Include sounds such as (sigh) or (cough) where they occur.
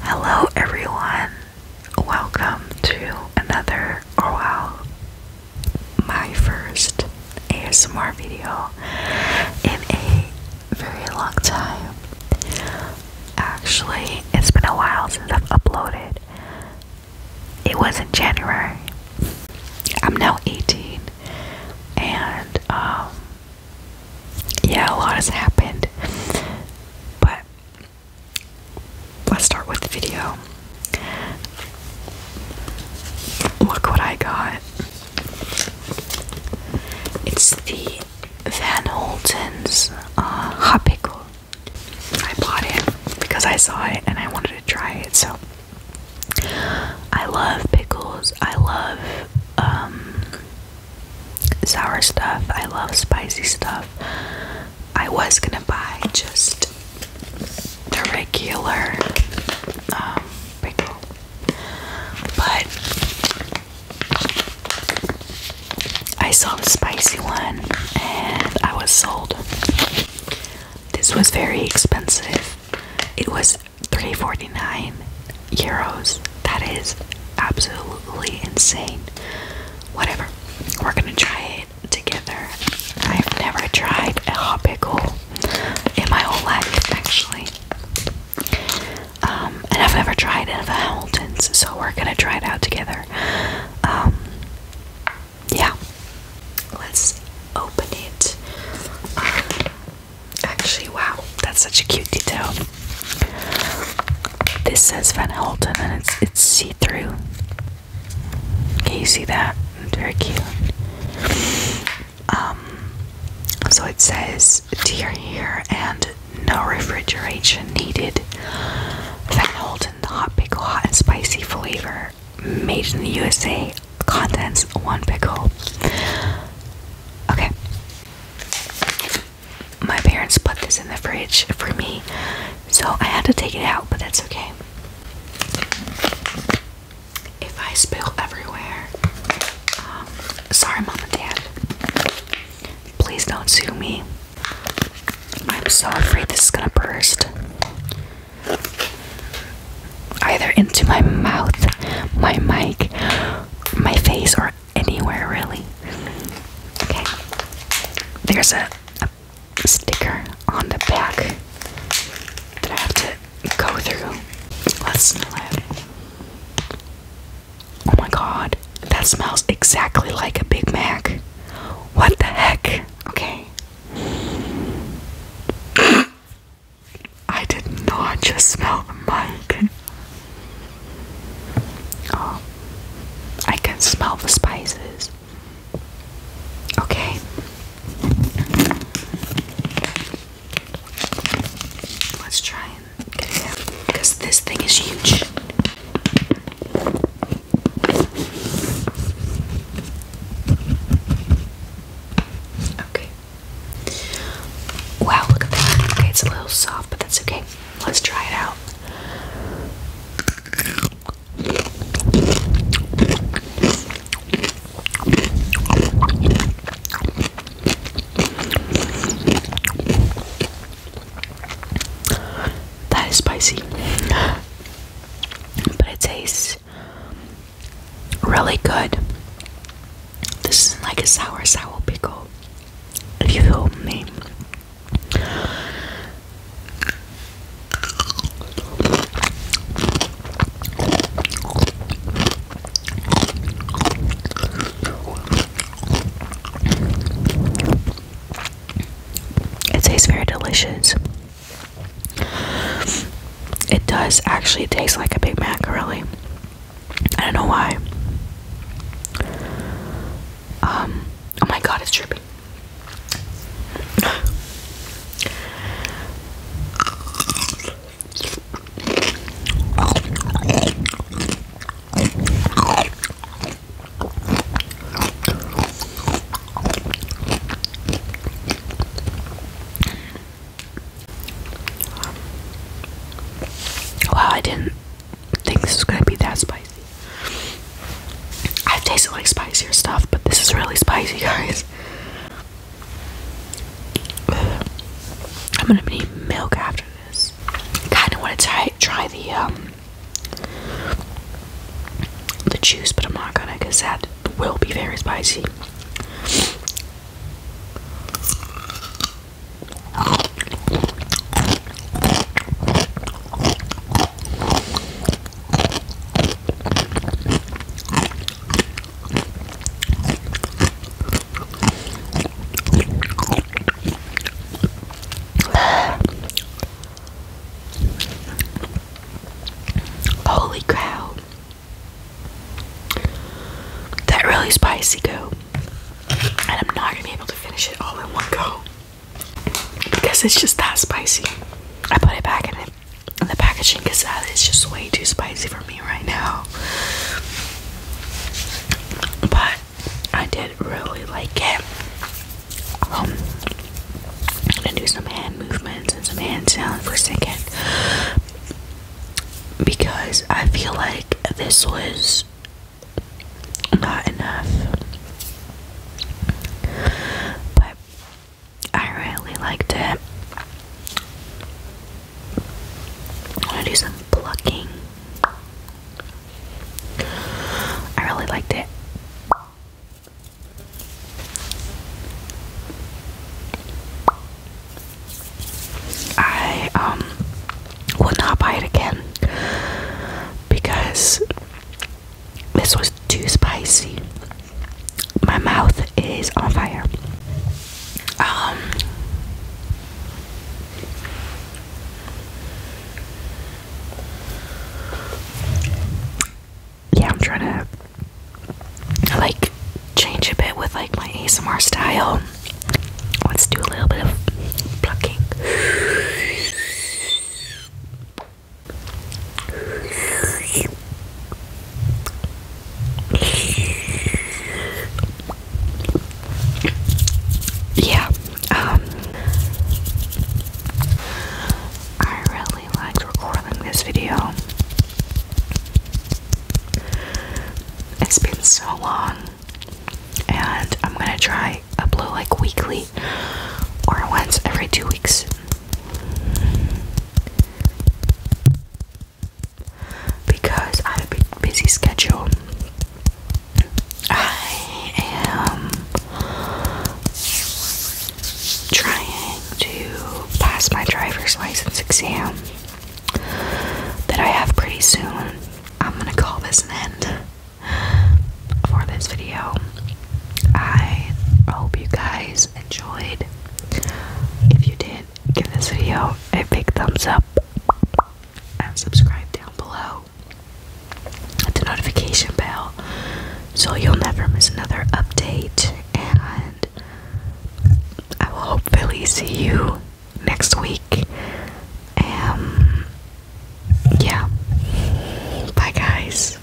Hello, everyone. Welcome to another, or oh, my first ASMR video in a very long time. Actually, it's been a while since I've uploaded. It was in January. I'm now 18 and um, yeah, a lot has happened. But let's start with the video. Look what I got. It's the Van Holten's uh, hot pickle. I bought it because I saw it and I wanted to try it, so I love pickles. I love um, sour stuff. I love spicy stuff. I was gonna buy just the regular um, pickle, but I saw the spicy one and I was sold. This was very expensive. It was 349 euros. That is absolutely insane. Whatever. We're gonna try it together. I've never tried a hot pickle in my whole life actually. Um, and I've never tried it at the Hamiltons, so we're gonna try it out together. Um, yeah, let's open it. Uh, actually, wow, that's such a cute detail. This says Van Holten and it's it's see-through. Can you see that? It's very cute. Um, so it says dear here and no refrigeration needed. Van Holten, the hot pickle, hot and spicy flavor made in the USA Contents: one pickle. Okay. My parents put this in the fridge for me, so I had to take it out, but that's okay. If I spill everywhere, um, sorry, mom and dad. Please don't sue me. I'm so afraid this is gonna burst. Either into my mouth, my mic, my face, or anywhere really. Okay. There's a, sticker on the back that I have to go through. Let's smell it. Oh my god, that smells exactly like a Big Mac. What the heck? Okay. I did not just smell the mic. Oh, I can smell the spices. Okay. Let's try it because this thing is huge. Okay. Wow, Okay, it's a little soft, but that's okay. Let's try it out. That is spicy. But it tastes really good. This is like a sour sour pickle. If you feel me. It tastes very delicious. It does actually taste like a Big Mac, really. I don't know why. Um, oh my god, it's dripping. Wow, I didn't think this was gonna be that spicy. I've tasted like spicier stuff, but this is really spicy, (laughs) guys. I'm gonna need milk after this. Kind of want to try try the um, the juice, but I'm not gonna because that will be very spicy. Holy cow. That really spicy go. And I'm not gonna be able to finish it all in one go. Because it's just that spicy. I put it back in, it, in the packaging because that is just way too spicy for me right now. But I did really like it. Um, I'm gonna do some hand movements and some hand sound for a second because I feel like this was not enough. But I really liked it. I'm gonna do some plucking. I really liked it. I um will not buy it again because this was too spicy my mouth is on fire. Um, yeah, I'm trying to like change a bit with like my ASMR style. Let's do a little bit of plucking. Yeah, um, I really liked recording this video. It's been so long, and I'm gonna try upload like weekly or once every two weeks because I have a busy schedule. I am trying to pass my driver's license exam that I have pretty soon. I'm gonna call this an end for this video. I hope you guys enjoyed. If you did, give this video a big thumbs up and subscribe down below at the notification bell so you'll never miss another update. And I will hopefully see you next week. Um, yeah. Bye, guys.